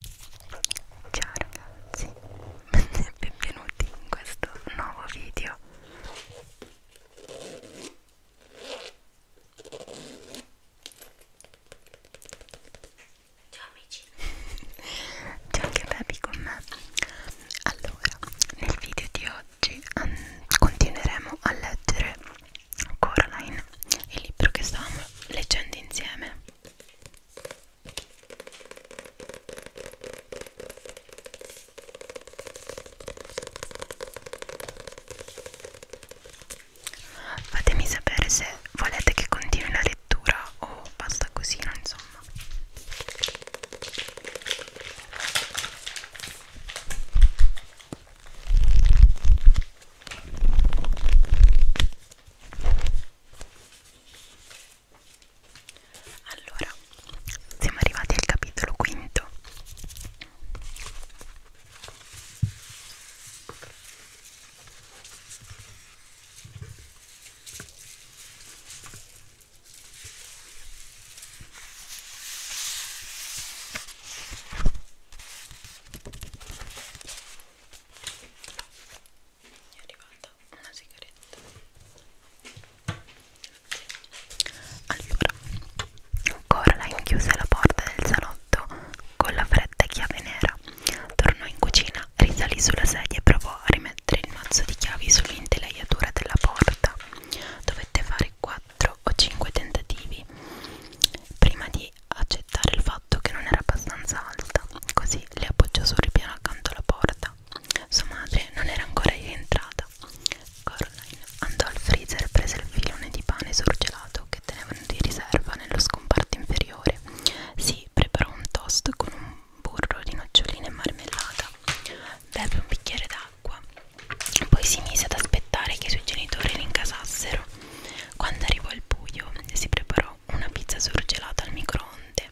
Ciao ragazzi, benvenuti in questo nuovo video. Ciao amici, c'è anche Baby con me. Allora, nel video di oggi um, continueremo a leggere Coraline, il libro che stavamo leggendo insieme. Fatemi sapere se volete che continui la lettura o basta così, no, insomma. Allora, siamo arrivati al capitolo quinto mi è arrivata una sigaretta allora Coraline chiuse la porta del salotto con la fredda chiave nera tornò in cucina, risalì sulla sedia e provò a rimettere il mazzo di chiavi sull'intelaiatura della porta dovette fare 4 o 5 tentativi prima di accettare il fatto che non era abbastanza alta, così le appoggiò sul ripiano accanto alla porta. Sua madre non era ancora rientrata. Caroline andò al freezer e prese il filone di pane surgelato che tenevano di riserva nello scomparto inferiore. Si preparò un toast con un burro di noccioline e marmellata. Beve un bicchiere d'acqua. Poi si mise ad aspettare che i suoi genitori rincasassero. Quando arrivò il buio, si preparò una pizza surgelata al microonde.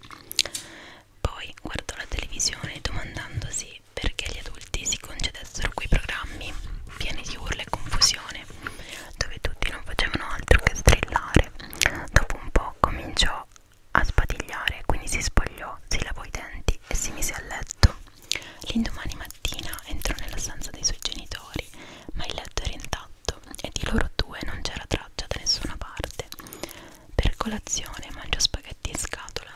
Poi guardò la televisione domandandosi perché gli adulti si concedessero quei programmi pieni di urla e confusione, dove tutti non facevano altro che strillare. Dopo un po' cominciò a spatigliare, quindi si spogliò, si lavò i denti e si mise a letto. L'indomani mattina entrò nella stanza dei suoi genitori, ma il letto era intatto e di loro due non c'era traccia da nessuna parte. Per colazione mangiò spaghetti in scatola,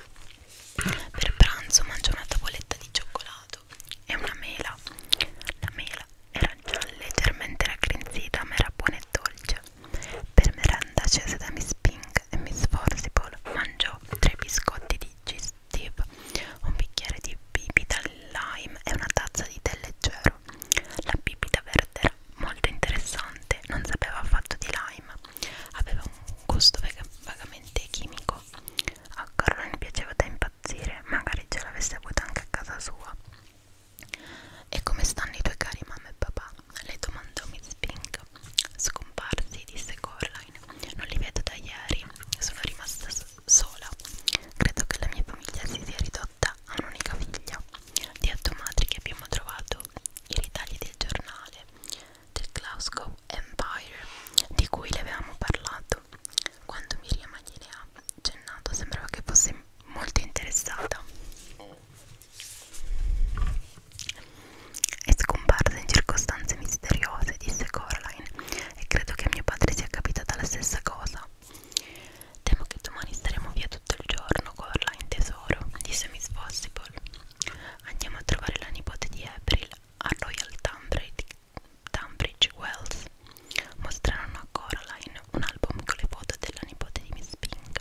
per pranzo mangiò una tavoletta di cioccolato e una mela. La mela era già leggermente raggrinzita, ma era buona e dolce. Per merenda scese da Miss Pink e Miss Forcible mangiò tre biscotti di Steve, un bicchiere di bibita lime e una tazza di tè leggero. La bibita verde era molto interessante, non sapeva affatto di lime, aveva un gusto vagamente chimico. A Carolyn piaceva da impazzire, magari ce l'avesse avuto anche a casa sua. E come stanno i tuoi cari mamma e papà? Le domandò Miss Pink detto Scomparsi, disse Coraline Non li vedo da ieri Sono rimasta sola Credo che la mia famiglia si sia ridotta a un'unica figlia Di automatri che abbiamo trovato I ritagli del giornale Del Glasgow Empire Di cui le avevamo parlato Quando Miriam gliene ha accennato Sembrava che fosse molto interessata è scomparsa in circostanze misteriose, disse Coraline, e credo che a mio padre sia capitata la stessa cosa. Temo che domani staremo via tutto il giorno, Coraline, tesoro, disse Miss Possible. Andiamo a trovare la nipote di April a Royal Tunbridge Wells. Mostrarono a Coraline un album con le foto della nipote di Miss Pink.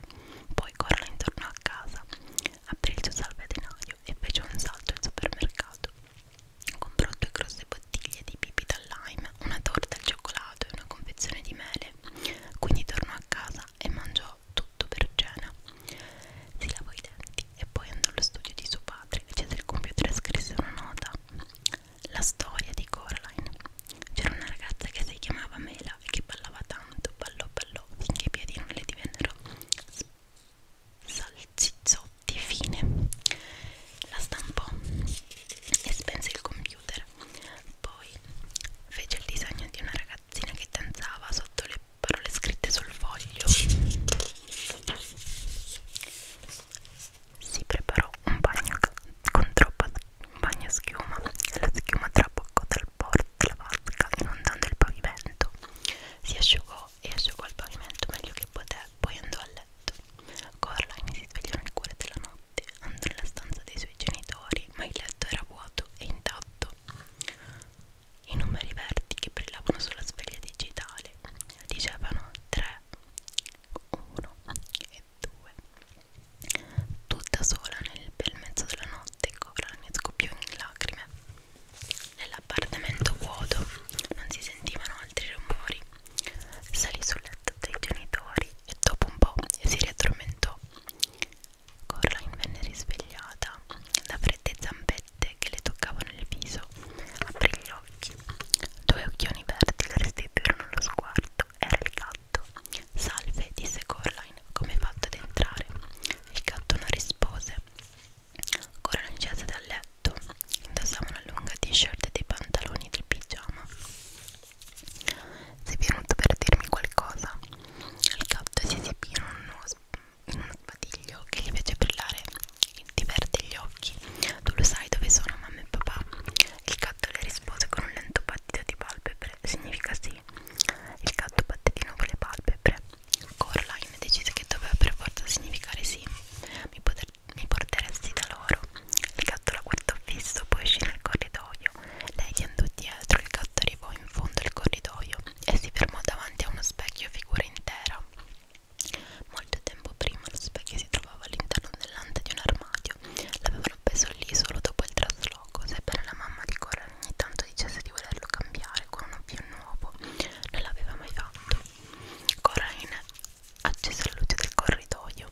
Poi Coraline tornò a casa, aprì il suo salvadanaio bavaglio e fece un salto al supermercato. Comprò due grosse bottiglie di bibita al lime, una torta al cioccolato e una confezione di mele. Quindi tornò a casa e mangiò tutto per cena. Si lavò i denti e poi andò allo studio di suo padre, accese il computer e scrisse una nota. La storia di Coraline. C'era una ragazza che si chiamava Mela e che ballava tanto, ballò, ballò, finché i piedi non le divennero salsizzotti fine la stampò e spense il computer poi fece il disegno di una ragazzina che danzava sotto le parole scritte sul foglio si preparò un bagno con troppa un bagno schiuma la schiuma traboccò dal porto la vasca inondando il pavimento. Si asciugò e asciugò il pavimento meglio che poté, poi andò a letto. Coraline si svegliò nel cuore della notte, andò nella stanza dei suoi genitori, ma il letto era vuoto e intatto. I numeri verdi che brillavano sulla sveglia digitale dicevano 3, 1 e 2. Tutta sola nel bel mezzo della notte, ricovero ne scoppiò in lacrime. Nell'appartamento vuoto non si sentivano altri rumori. Salì sul letto dei genitori e dopo un po' si riaddormentò. Coraline venne risvegliata da fredde zampette che le toccavano il viso. Aprì gli occhi. Due occhioni verdi le restituirono lo sguardo. Era il gatto gatto. Salve, disse Coraline, come hai fatto ad entrare? Il gatto non rispose. Coraline scese dal letto, indossava una lunga t-shirt e dei pantaloni del pigiama. Sei venuto per dirmi qualcosa? Il gatto si esibì in uno, in uno spadiglio che gli fece brillare ti perde gli occhi. Tu lo sai dove sono mamma e papà? Il gatto le rispose con un lento battito di palpebre. Significa sì. Il gatto batté di nuovo le palpebre. Coraline decise che doveva per forza significare sì. Mi, poter, mi porteresti da loro. Il gatto la guardò fisso, poi uscì nel corridoio. Lei gli andò dietro, il gatto arrivò in fondo al corridoio e si fermò davanti a uno specchio a figura intera. Molto tempo prima lo specchio si trovava all'interno dell'ante di un armadio. L'avevano appeso lì solo dopo il, logo, sebbene la mamma di Coral ogni tanto dicesse di volerlo cambiare con uno più nuovo, non l'aveva mai fatto. Coraline accese la luce del corridoio,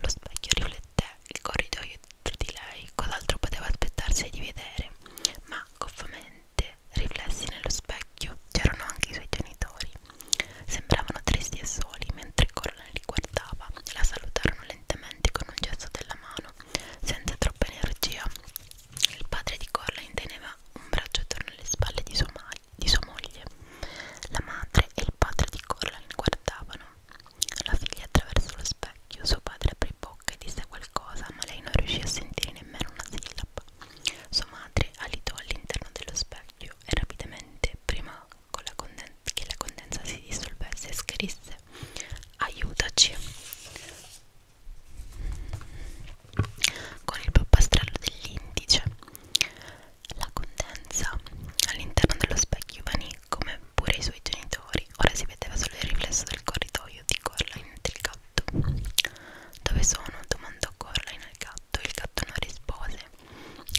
lo specchio riflette il corridoio dentro di lei, cos'altro poteva aspettarsi di vedere, ma goffamente riflessi nello specchio c'erano anche i suoi genitori. Sembravano tristi e soli mentre Coraline li guardava, la salutarono lentamente con un gesto della mano, senza troppa energia. Il padre di Coraline teneva un braccio attorno alle spalle di sua, di sua moglie. La madre e il padre di Coraline guardavano. La figlia attraverso lo specchio, suo padre aprì bocca e disse qualcosa, ma lei non riuscì a sentire nemmeno una sillaba. Sua madre alitò all'interno dello specchio e rapidamente, prima con la che la condensa si dissolvesse e scrisse aiutaci con il pappastrello dell'indice la condensa all'interno dello specchio vanì come pure i suoi genitori ora si vedeva solo il riflesso del corridoio di Coraline del gatto dove sono? domandò Coraline al gatto il gatto non rispose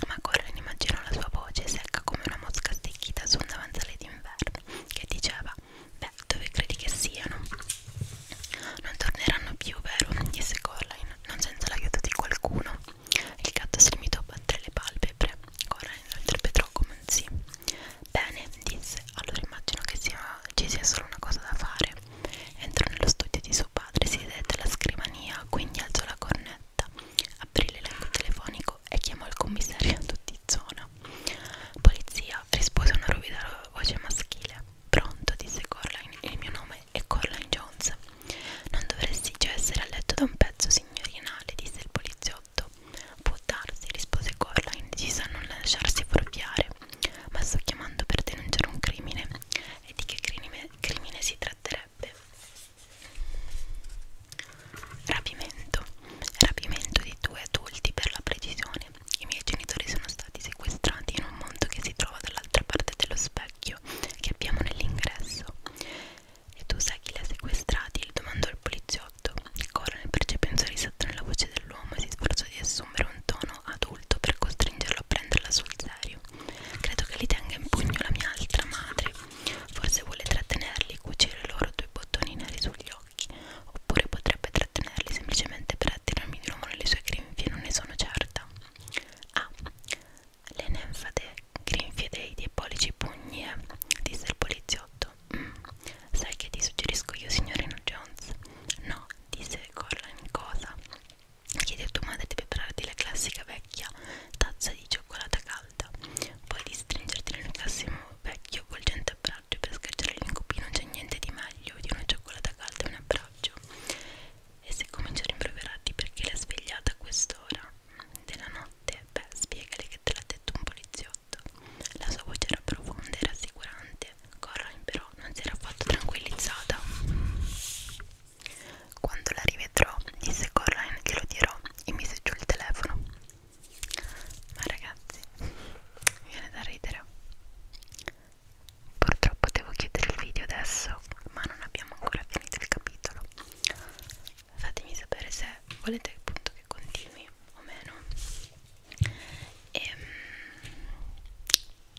ma Corren immaginò la sua voce secca come una mosca stecchita su un davanzale d'inverno che diceva: Beh, dove credi che siano? Non torneranno più, vero? disse Coraline, non senza l'aiuto di qualcuno. Il gatto si limitò a battere le palpebre. Coraline lo interpretò come un sì. Bene, disse, allora immagino che sia, ci sia solo una cosa da fare. Entrò nello studio di suo padre, si sedette alla scrivania, quindi alzò la cornetta cameretta, aprì l'elenco telefonico e chiamò il commissariato di zona. Polizia rispose una rovida voce maschile. Pronto, disse Corline, il mio nome è Corline Jones. Non dovresti già essere a letto da un pezzo, signorina, le disse il poliziotto. Può darsi, rispose Corline, decisa a non lasciarsi fuorviare. Ma sto chiamando per denunciare un crimine. E di che crimine, crimine si tratterebbe? Rapimento. Rapimento di due adulti per la precisione. I miei genitori sono stati sequestrati in un mondo che si trova dall'altra parte dello specchio che abbiamo nell'ingresso. E tu sai chi li ha sequestrati? gli domandò il poliziotto. Coronel percepì un sorrisetto nella voce dell'uomo e si sforzò di assumere un tono adulto per costringerlo a prenderla sul serio. Credo che li tenga in pugno la mia altra madre. Forse vuole trattenerli e cucire loro due bottoni neri sugli occhi. Oppure potrebbe trattenerli semplicemente per attirarmi di nuovo nelle sue grinfie, non ne sono certa. Ah, le nenfate grinfie dei diabolici pugni, eh? disse il poliziotto. Mm, sai che ti suggerisco io, signorina Jones? No, disse Corlan. Cosa? Chiedi a tua madre di prepararti la classica vecchia tazza di cioccolata calda, poi di stringerti nel classico vecchio volgente abbraccio per schiacciare l'incupino. Non c'è niente di meglio di una cioccolata calda e un abbraccio. E se cominci a rimproverarti perché l'ha svegliata a quest'ora della notte, beh, spiegale che te l'ha detto un poliziotto. La sua voce era profonda e rassicurante. Coraline, però, non si era affatto tranquillizzata. Quando la rivedrò, disse Coraline, glielo dirò e mise giù il telefono. Ma ragazzi, mi viene da ridere. Purtroppo devo chiudere il video adesso, ma non abbiamo ancora finito il capitolo. Fatemi sapere se volete appunto che continui o meno. E, ehm,